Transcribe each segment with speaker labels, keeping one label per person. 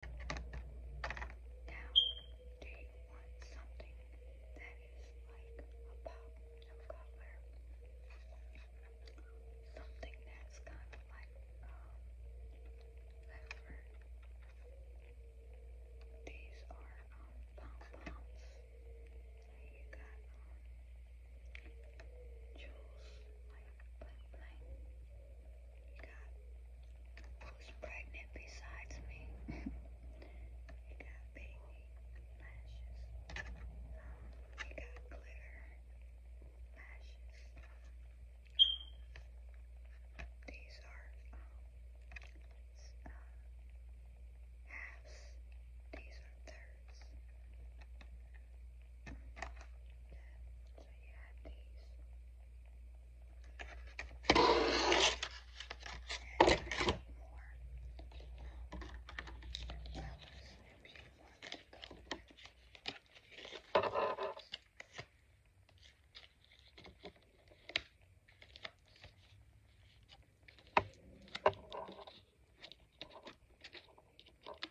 Speaker 1: Now, do you want something that is like a pop of color? Something that's kind of like um, These are um, pom-poms. You got jewels like bling bling got who's pregnant besides me. you got baby lashes. you got glitter lashes. these are um, halves. These are thirds. So you have these. And I have more colors if you want to go with these.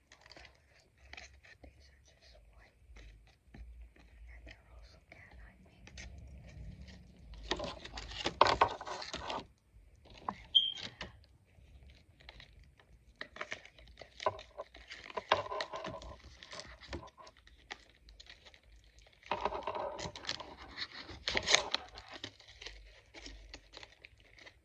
Speaker 1: These are just white. And they're also cat eye pink. These are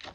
Speaker 1: Damn it.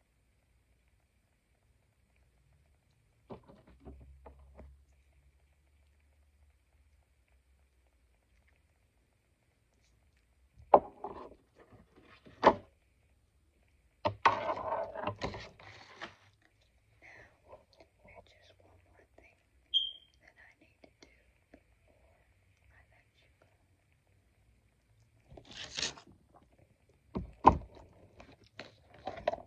Speaker 1: just one more thing that I need to do before I let you go. These are body glitter, uh, body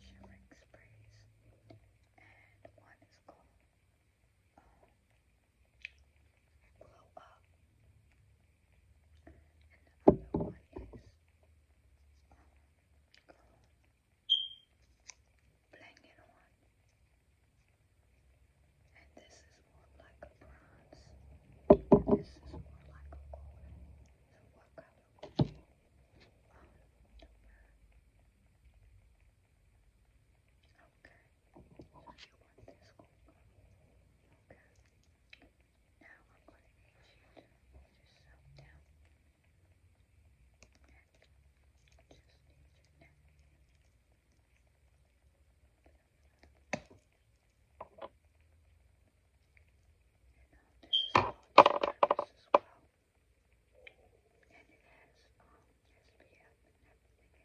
Speaker 1: shimmering sprays, and one is called um, glow up. And the other one is blanket on. And this is more like a bronze. And this is more like a golden. So what color would you um, Okay you want this one. Okay. Now I'm going to need you to get yourself down. And just need your neck. And um, this is for purpose as well. And it has um, SPF and everything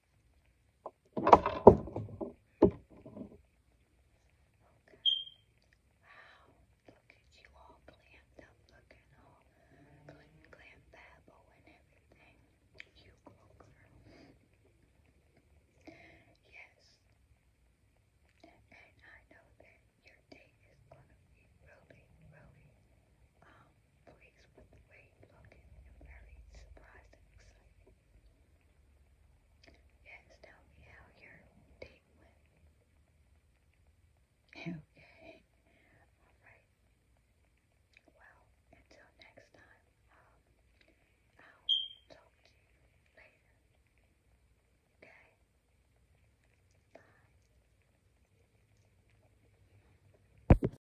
Speaker 1: look at you all glammed up looking all glam, glam babble and everything. You go girl. Yes. And I know that your day is gonna be really, really um pleased with the way he looked and very surprised and excited. Yes, tell me how your date went. Okay. Alright. Well, until next time, um, I'll talk to you later. Okay? Bye.